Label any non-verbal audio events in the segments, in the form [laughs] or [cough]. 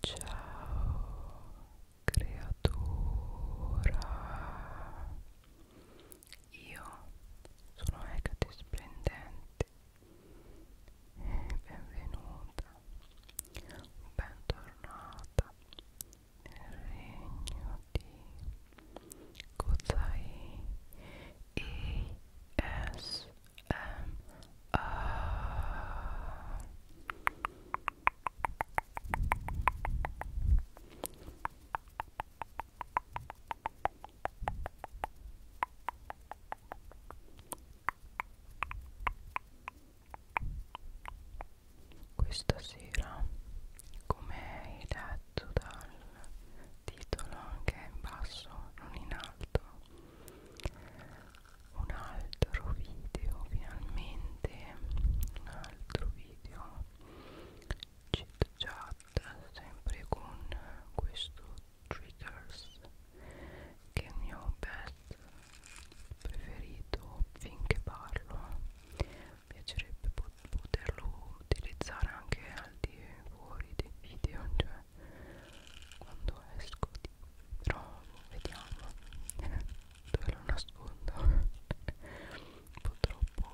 Ciao creatura, io sono Hecate Splendente e benvenuta, bentornata nel regno di Kozai ESMR è uh, questa sera come hai letto dal titolo che è in basso non in alto un altro video finalmente un altro video chit chat sempre con questo triggers che è il mio pet preferito finché parlo mi piacerebbe poterlo utilizzare anche al di fuori dei video cioè quando esco di però vediamo [laughs] dove lo nascondo un [laughs] po' troppo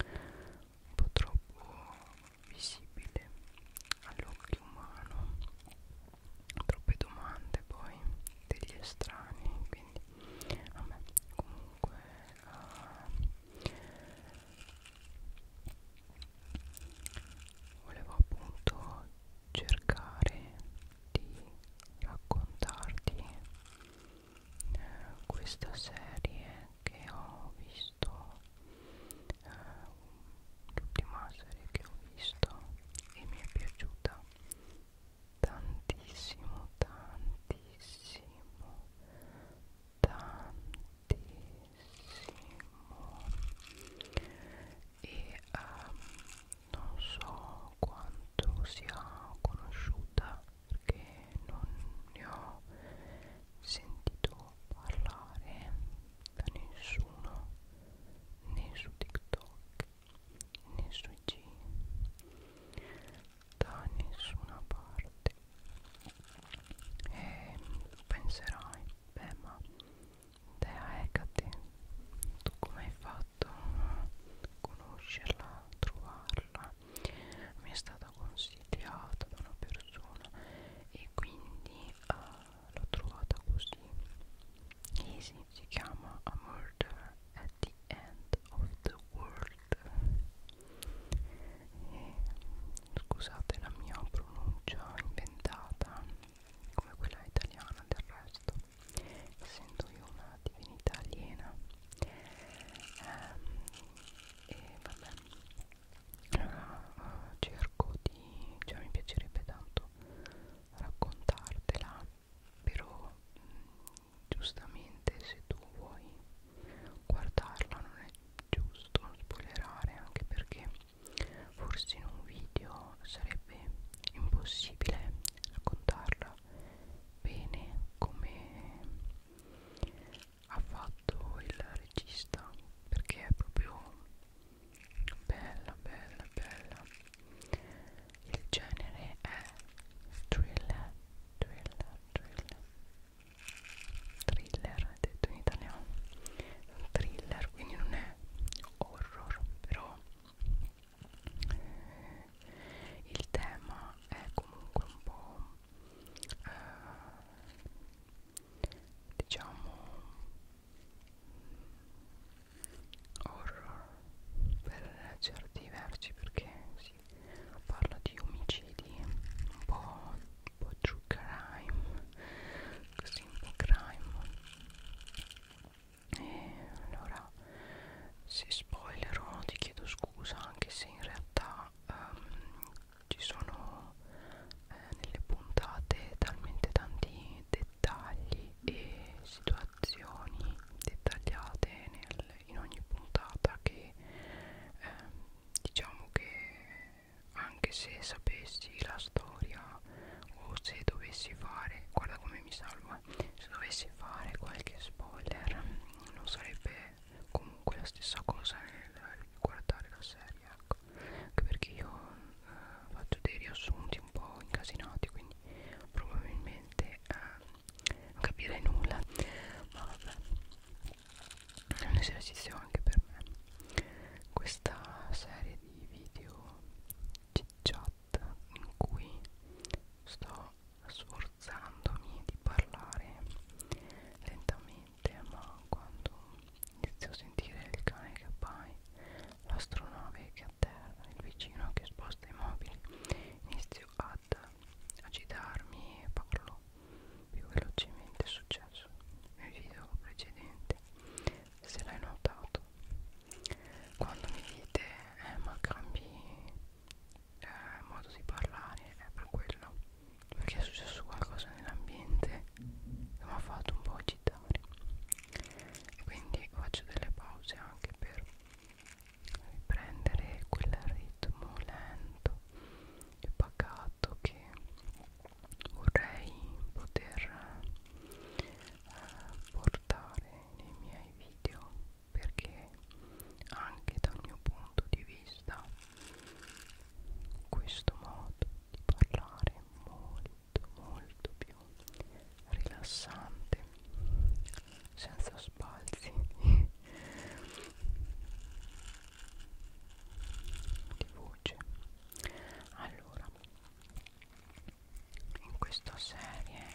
un po' troppo visibile all'occhio umano troppe domande poi degli estranei quindi vabbè comunque uh, volevo appunto cercare di raccontarti eh, questa serie che ho visto eh, l'ultima serie che ho visto e mi è piaciuta tantissimo tantissimo tantissimo e um, non so quanto sia conosciuta perché non ne ho sentito parlare da nessuno né su TikTok né sui G da nessuna parte e penserai beh ma Dea Ecate, tu come hai fatto a conoscerla, a trovarla? Mi è stata consigliata da una persona e quindi uh, l'ho trovata così. Easy, si chiama A Murder at the End of the World. E scusate la mia pronuncia inventata come quella italiana del resto essendo io una divinità aliena ehm, e vabbè eh, cerco di cioè mi piacerebbe tanto raccontartela però mh, mm, giustamente se tu vuoi guardarla non è giusto spoilerare anche perché forse in un video sarebbe impossibile raccontarla bene come ha fatto il regista perché è proprio bella bella bella il genere è thriller thriller thriller thriller detto in italiano thriller quindi non è horror però il tema è comunque un po' eh, diciamo horror per certi versi perché si parla di omicidi un po' un po' true crime così un po' crime e allora se spoilerò ti chiedo scusa anche se in realtà um, ci sono eh, nelle puntate talmente tanti dettagli e situazioni dettagliate nel, in ogni puntata che eh, diciamo che anche se sapessi la storia o se dovessi fare guarda come mi salva eh. se dovessi fare qualche spoiler non sarebbe comunque la stessa cosa nel guardare la serie ecco anche perché io eh, faccio dei riassunti un po' incasinati quindi probabilmente eh, non capirei nulla ma vabbè è un esercizio anche per me questa serie di video chat in cui sto sforzandomi di parlare lentamente ma quando inizio a sentire il cane che appaia l'astronave che atterra il vicino che sposta i mobili inizio ad agitarmi e parlo più velocemente succede successo nel video precedente se l'hai notato quando mi dite eh, ma cambi eh, modo di parlare è per quello perché è successo qualcosa nell'ambiente che mi ha fatto un po' agitare e quindi faccio delle pause anche per riprendere quel ritmo lento e pacato che vorrei poter eh, portare nei miei video perché anche dal mio punto di vista questo modo di parlare è molto molto più rilassante senza sbalzi di voce allora in questa serie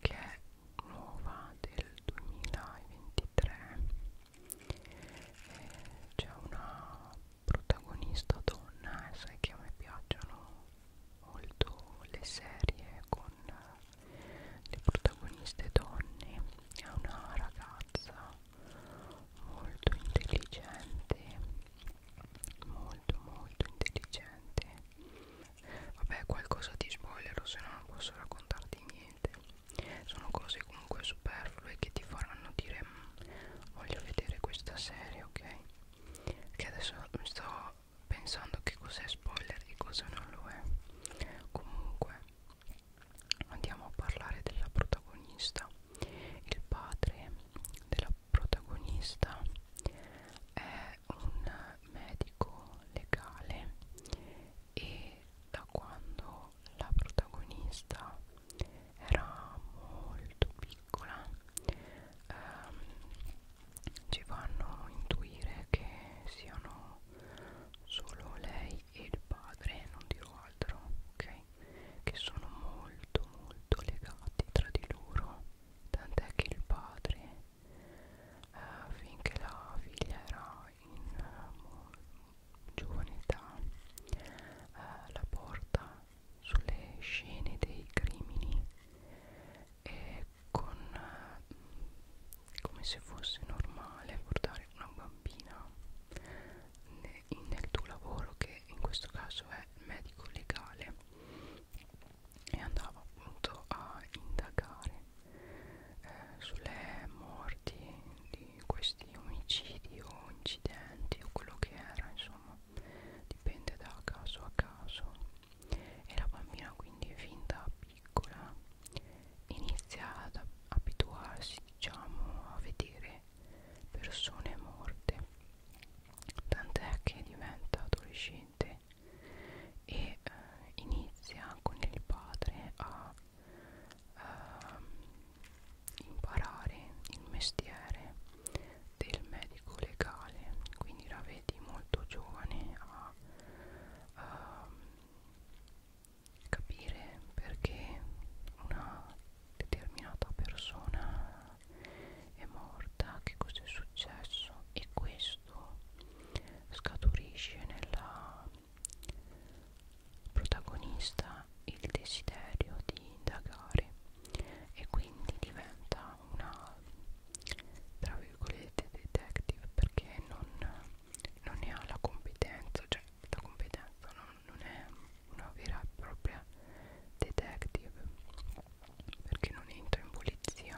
che è nuova del 2023 eh, c'è una protagonista donna eh, sai che a me piacciono molto le serie con eh, le protagoniste donne è una ragazza molto intelligente molto molto intelligente vabbè qualcosa di spoiler se no non posso raccontarti niente sono cose comunque superflue che ti faranno dire mm, voglio vedere questa serie ok che adesso sto pensando che cos'è spoiler e cosa non lo è comunque andiamo a parlare della protagonista il padre della protagonista è un medico legale e da quando la protagonista era molto piccola ehm, ci fanno intuire che siano solo lei lei e il padre, non dirò altro, ok? Che sono molto molto legati tra di loro, tant'è che il padre, eh, finché la figlia era in eh, giovane età, eh, la porta sulle scene dei crimini e con eh, come se fosse normale portare una bambina nel tuo lavoro che in questo caso è medico legale e andava appunto a indagare eh, sulle morti di questi omicidi o incidenti o quello che era insomma dipende da caso a caso e la bambina quindi fin da piccola inizia ad abituarsi diciamo a vedere persone morte tant'è che diventa adolescente e eh, inizia con il padre a eh, imparare il mestiere del medico legale quindi la vedi molto giovane a, a ehm, capire perché una determinata persona è morta, che cosa è successo e questo scaturisce nella protagonista il desiderio di indagare e quindi diventa una tra virgolette detective perché non, non ne ha la competenza, cioè la competenza non, non è una vera e propria detective perché non entra in polizia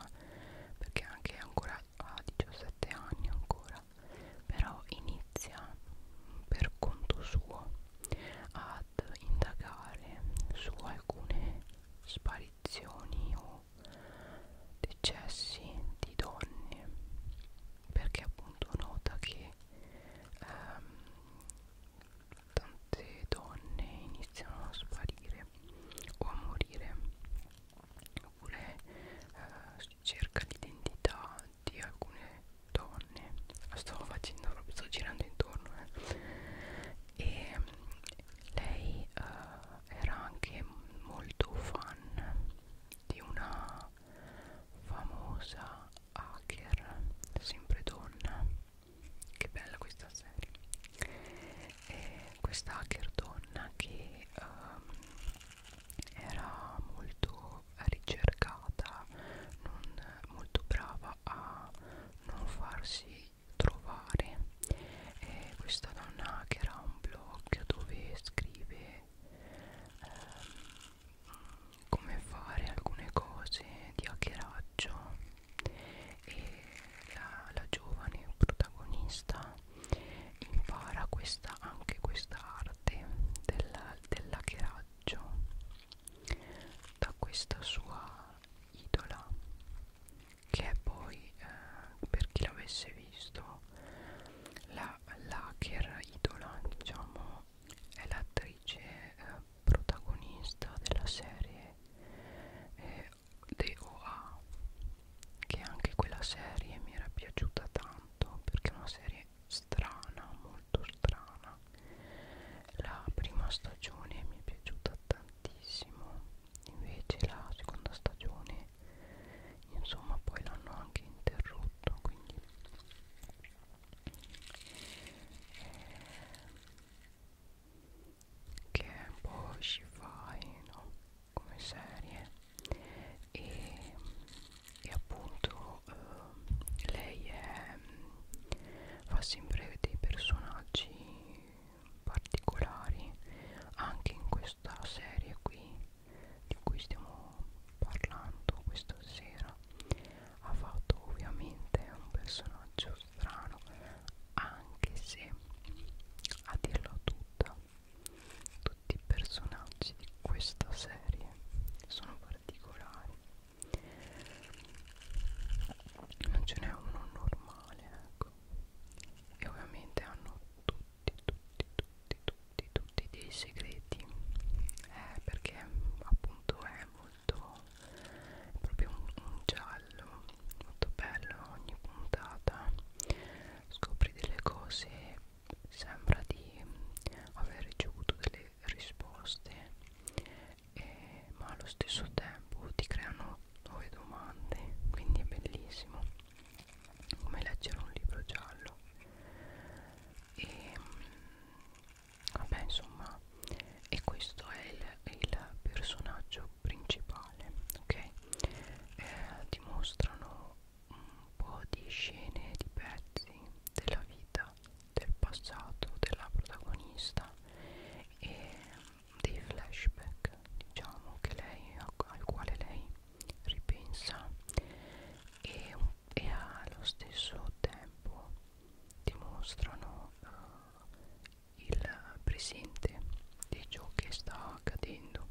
perché anche ancora a 17 anni ancora però inizia per conto suo ad indagare su alcune sparizioni o decessi di donne perché appunto nota che ehm, tante donne iniziano a sparire o a morire oppure eh, si cerca l'identità di alcune donne ah, sto facendo proprio sto girando intorno eh. e lei eh, era anche molto fan di una famosa hacker sempre donna che bella questa serie e questa hacker donna che um, era molto ricercata non molto brava a non farsi trovare e questa donna che era un blog dove scrive ehm, come fare alcune cose di hackeraggio e la, la giovane protagonista impara questa, anche questa arte dell'hackeraggio dell da questa sua idola che è poi eh, per chi l'avesse visto la Linda Lacher, idola diciamo, è l'attrice eh, protagonista della serie eh, The OA che anche quella serie mi era piaciuta tanto perché è una serie strana, molto strana la prima stagione mi è piaciuta tantissimo invece la seconda stagione insomma poi l'hanno anche interrotto quindi eh, che è un po' sci-fi no? come serie e, e appunto eh, lei è, fa sempre dei personaggi particolari anche in questa serie qui di cui stiamo parlando questa sera ha fatto ovviamente un personaggio strano anche se a dirla tutta tutti i personaggi di questa serie sono particolari non ce n'è uno normale ecco e ovviamente hanno tutti tutti tutti tutti di tutti i dei segreti eh, perché appunto è molto è proprio un, un giallo molto bello ogni puntata scopri delle cose sembra di aver ricevuto delle risposte e, ma allo stesso tempo ti creano nuove domande quindi è bellissimo come leggere un libro giallo e vabbè insomma e questo è il, il personaggio principale ok eh, dimostrano un po' di scene di pezzi della vita del passato della protagonista e dei flashback diciamo che lei al quale lei ripensa e, e allo stesso tempo dimostrano uh, eh, il presente di ciò che sta accadendo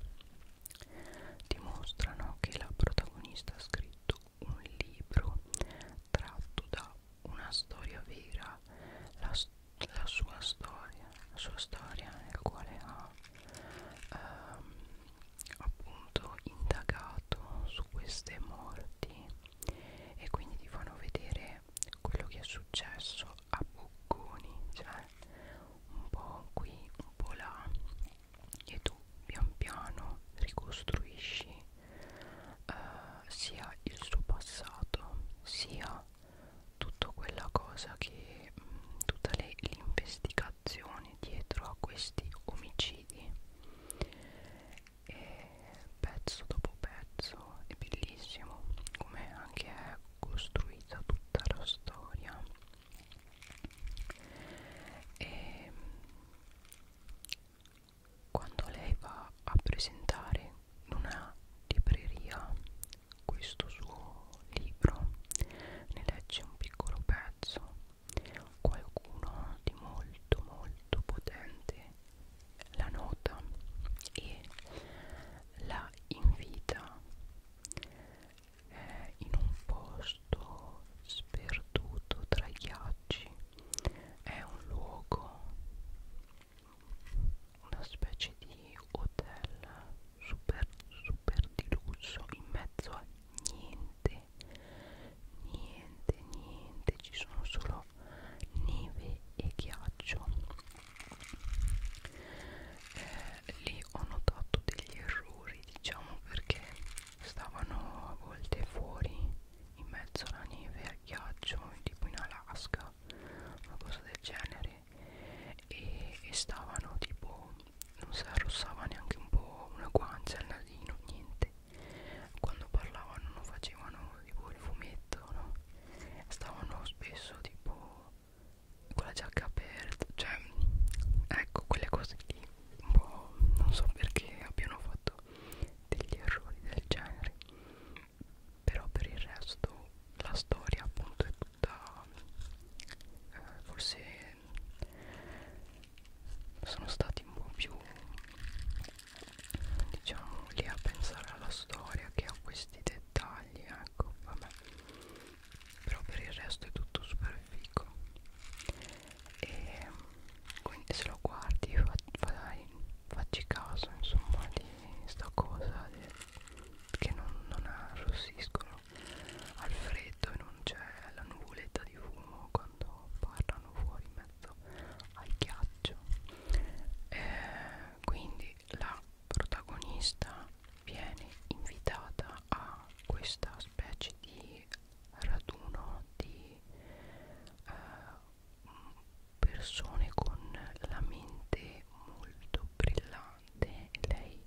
dimostrano che la protagonista ha scritto un libro tratto da una storia vera la, la sua storia la sua storia nel quale ha um, appunto indagato su queste morti e quindi ti fanno vedere quello che è successo a bocconi cioè un po' qui un po' là e tu pian piano ricostruisci eh, sia il suo passato sia tutta quella cosa che mh, mm, tutta l'investigazione motivazioni dietro a questi omicidi e pezzo dopo pezzo è bellissimo come anche è costruita tutta la storia e quando lei va a presentare in una libreria questo suo libro ne legge un piccolo pezzo qualcuno di molto molto potente la nota e la invita eh, in un posto sperduto tra i ghiacci è un luogo una specie di hotel super super di lusso in mezzo a niente niente niente ci sono solo neve e ghiaccio eh, lì ho notato degli errori diciamo perché stavano a volte fuori in mezzo alla neve e al ghiaccio tipo in Alaska una cosa del genere e, e stavano tipo non si arrossava neanche un po' una guancia al nasino, niente quando parlavano non facevano tipo il fumetto, no? Stavano spesso tipo con la giacca aperta, cioè ecco quelle cose lì un po' non so perché abbiano fatto degli errori del genere però per il resto la storia appunto è da eh, forse sono stati un po' più diciamo lì a pensare alla storia che a questi dettagli ecco vabbè però per il resto è tutto super figo e quindi se lo guardi fa, fa, facci caso insomma di sta cosa di, che non, non arrossiscono al freddo e non c'è la nuvoletta di fumo quando parlano fuori in mezzo al ghiaccio eh, quindi la protagonista viene invitata a questa specie di raduno di eh, persone con la mente molto brillante cantante e lei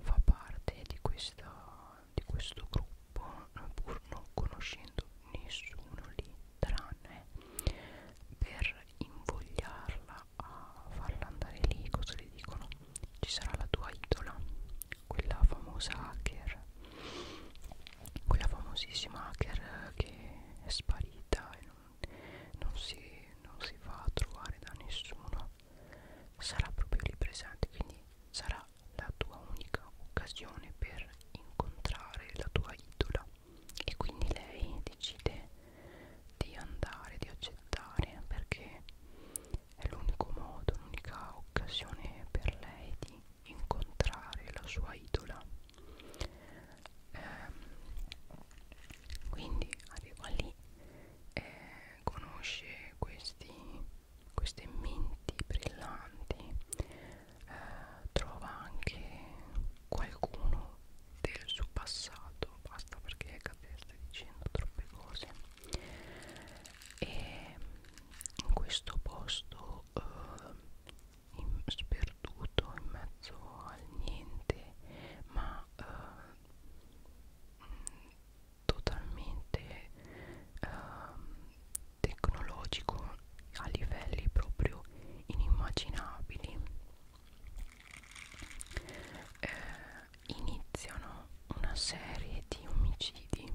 fa parte di, questa, di questo gruppo pur non conoscendo nessuno lì tranne per invogliarla a farla andare lì cosa le dicono ci sarà la tua idola quella famosa hacker quella famosissima hacker che è sparita e non, non, si, non si va a trovare da nessuno sarà proprio lì presente quindi sarà la tua unica occasione per incontrare la tua idola e quindi lei decide di andare di accettare perché è l'unico modo l'unica occasione per lei di incontrare la sua idola ehm, quindi arriva lì e eh, conosce questi, queste menti brillanti eh, trova anche qualcuno del suo passato basta perché Cate sta dicendo troppe cose e in questo posto eh, in, sperduto in mezzo al niente ma eh, totalmente ehm, tecnologico a livelli proprio inimmaginabili eh, iniziano una serie di omicidi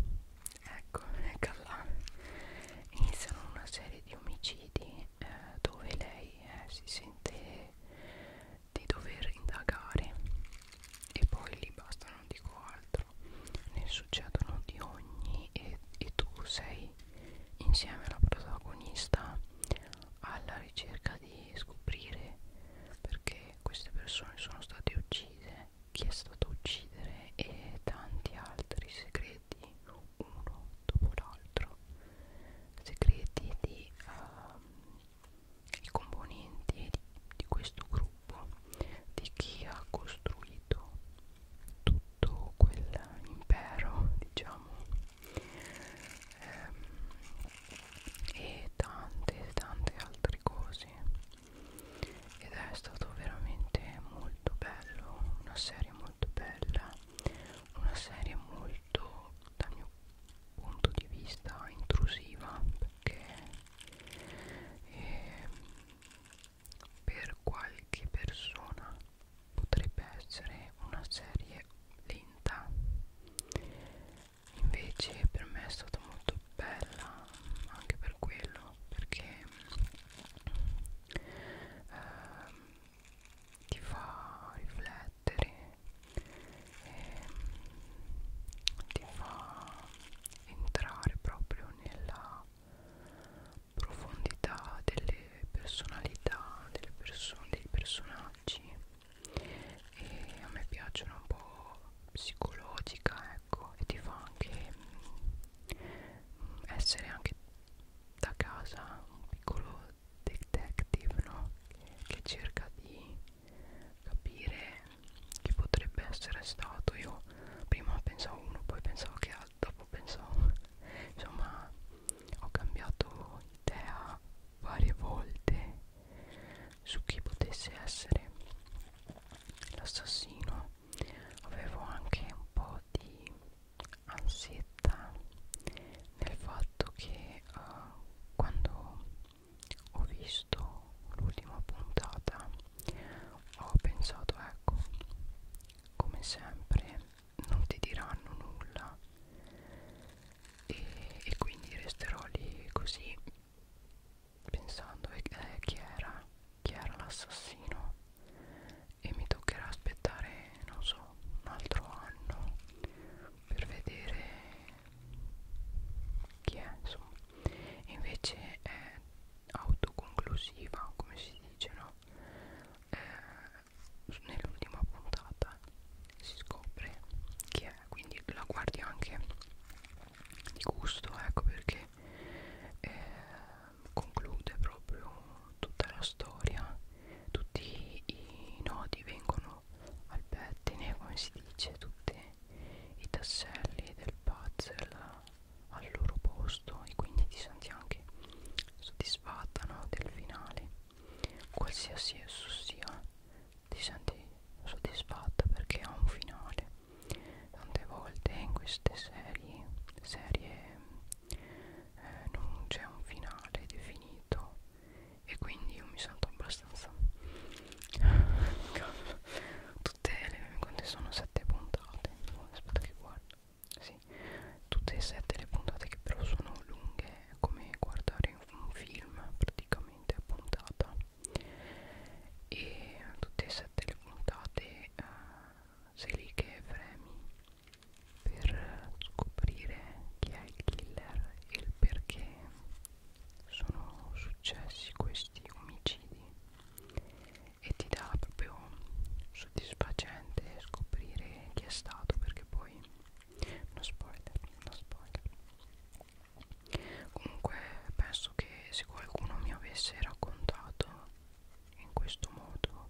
ecco eccola iniziano una serie di omicidi eh, dove lei eh, si sente di dover indagare e poi lì basta non dico altro ne succedono di ogni e, e tu sei insieme alla protagonista alla ricerca di scoprire perché queste persone sono state uccise chi è stato uccidere e tanti altri segreti uno dopo l'altro segreti di um, i componenti di, di questo gruppo di chi ha costruito tutto quell'impero diciamo ehm, e tante tante altre cose ed è stato veramente molto bello una serie molto bella una serie molto dal mio punto di vista intrusiva perché eh, per qualche persona potrebbe essere una serie lenta invece per me è stata molto bella anche per quello perché eh, ti fa riflettere mettere e ehm, ti fa entrare proprio nella profondità delle personalità delle persone dei personaggi e a me piacciono un po' psicologica ecco e ti fa anche mh, mm, essere anche da casa un piccolo detective no? che, che cerca di capire chi potrebbe essere stato io prima pensavo uno poi pensavo che altro dopo pensavo insomma ho cambiato idea varie volte su chi potesse essere l'assassino avevo anche un po' di ansietà nel fatto che uh, quando ho visto l'ultima puntata ho pensato ecco come sempre non ti diranno nulla e, e quindi resterò lì così pensando eh, chi era chi era l'assassino e mi toccherà aspettare non so un altro anno per vedere chi è insomma e invece è autoconclusiva come si dice no eh, nell'ultima puntata si scopre chi è quindi la guardi anche di gusto ecco perché eh, conclude proprio tutta la storia tutti i nodi vengono ferro al pettine come si dice tutti i tasselli del puzzle al loro posto e quindi ti senti anche soddisfatta no, del finale qualsiasi esso sia ti senti soddisfatta perché ha un finale tante volte in queste serie serie eh, non c'è un finale definito e quindi io mi sento abbastanza tutte le quante sono sette puntate aspetta che guardo sì. tutte e sette le puntate che però sono lunghe come guardare un film praticamente a puntata e tutte e sette le puntate eh, sei lì che fremi per scoprire chi è il killer e il perché sono successi questi omicidi e ti dà proprio soddisfacente scoprire chi è stato perché poi no spoiler, no spoiler comunque penso che se qualcuno mi avesse raccontato in questo modo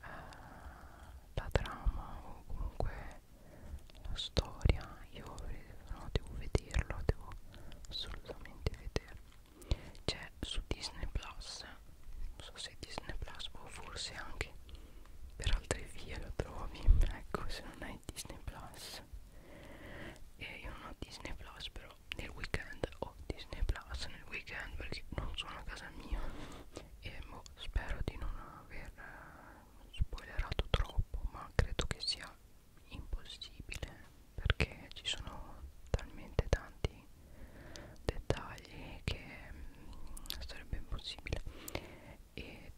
eh, la trama o comunque la storia io no, devo vederlo devo assolutamente vederlo c'è su Disney Plus non so se Disney Plus o forse anche per altre vie lo trovi [laughs] ecco se non hai Disney Plus e io non ho Disney Plus però nel weekend ho Disney Plus nel weekend perché non sono a casa mia e mo spero di non aver spoilerato troppo ma credo che sia impossibile perché ci sono talmente tanti dettagli che mh, mm, sarebbe impossibile e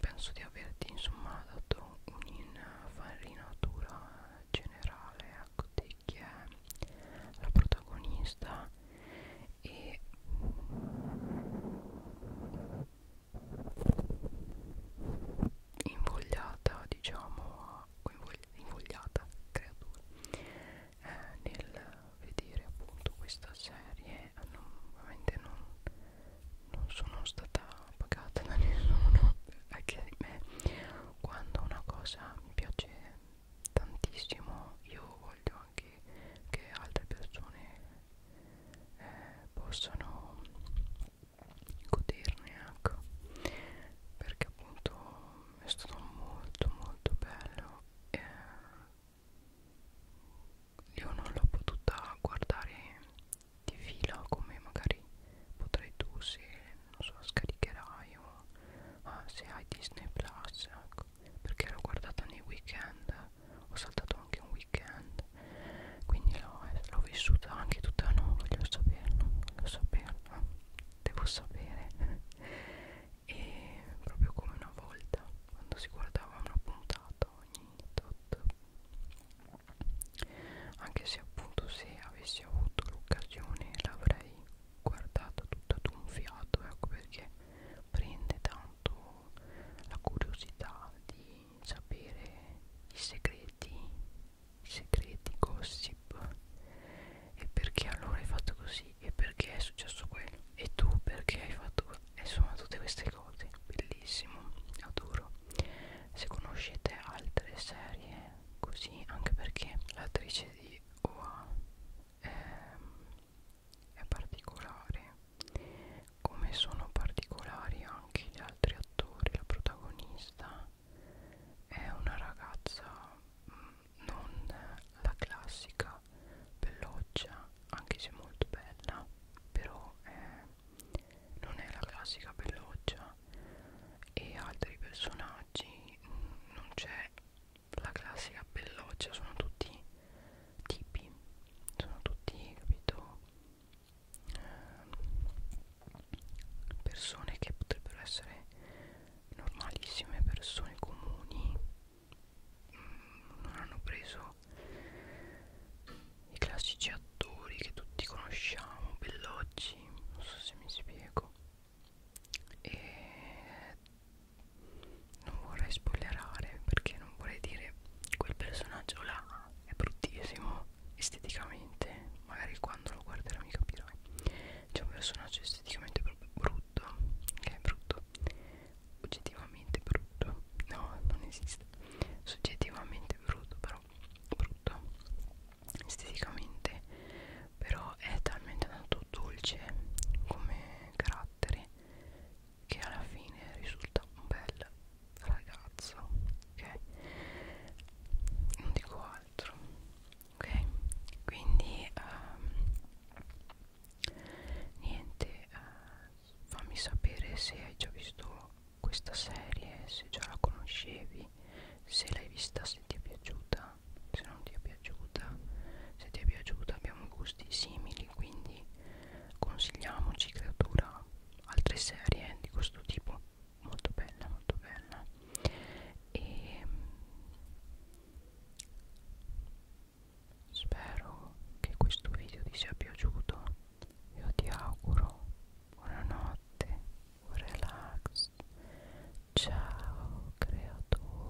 penso di averti insomma dato un'infarinatura generale ecco di chi è la protagonista e invogliata diciamo invogliata creatura eh, nel vedere appunto questa serie non, ovviamente non, non sono stata pagata da [laughs] nessuno anche di me quando una cosa mi piace tantissimo io voglio anche che altre persone eh, possano goderne ecco perché appunto è stato molto molto bello eh, io non l'ho potuta guardare di fila come magari potrai tu se non so scaricherai o ah, se hai Disney Plus ecco perché l'ho guardata nei weekend ho saltato anche un weekend quindi l'ho vissuta anche tutta no voglio saperlo voglio saperlo devo sapere e proprio come una volta quando si guardava una puntata ogni tot anche se appunto se avessi avuto l'occasione l'avrei guardato tutta d'un fiato ecco perché prende da tanto la curiosità di sapere i segreti, i segreti gossip e perché allora hai fatto così e perché è successo quello e tu perché hai fatto insomma tutte queste cose bellissimo adoro se conoscete altre serie così anche perché l'attrice di Oa ehm, è particolare come sono particolari anche gli altri attori la protagonista è una ragazza mh, mm, non la classica belloccia anche se molto bella però è, non è la classica belloccia e altri personaggi mh, mm, non c'è la classica belloccia sono tutti tipi sono tutti capito ehm, persone che potrebbero essere normalissime persone comuni mm, non hanno preso i classici attori che tutti conosciamo Bellocci non so se mi spiego e non vorrei spoilerare perché non vorrei dire quel personaggio là è bruttissimo esteticamente magari quando lo guarderò mi capirai c'è un personaggio esteticamente proprio brutto che è brutto oggettivamente brutto no non esiste soggettivamente brutto però brutto esteticamente però è talmente tanto dolce come carattere che alla fine risulta un bel ragazzo ok non dico altro ok quindi um, niente uh, fammi sapere se hai già visto questa serie se già la conoscevi se l'hai vista se ti è piaciuta se non ti è piaciuta se ti è piaciuta abbiamo gusti simili tutti quindi consigliamoci creatura altre serie di questo tipo molto bella molto bella e ehm, spero che questo video ti sia piaciuto io ti auguro buonanotte un relax ciao creatura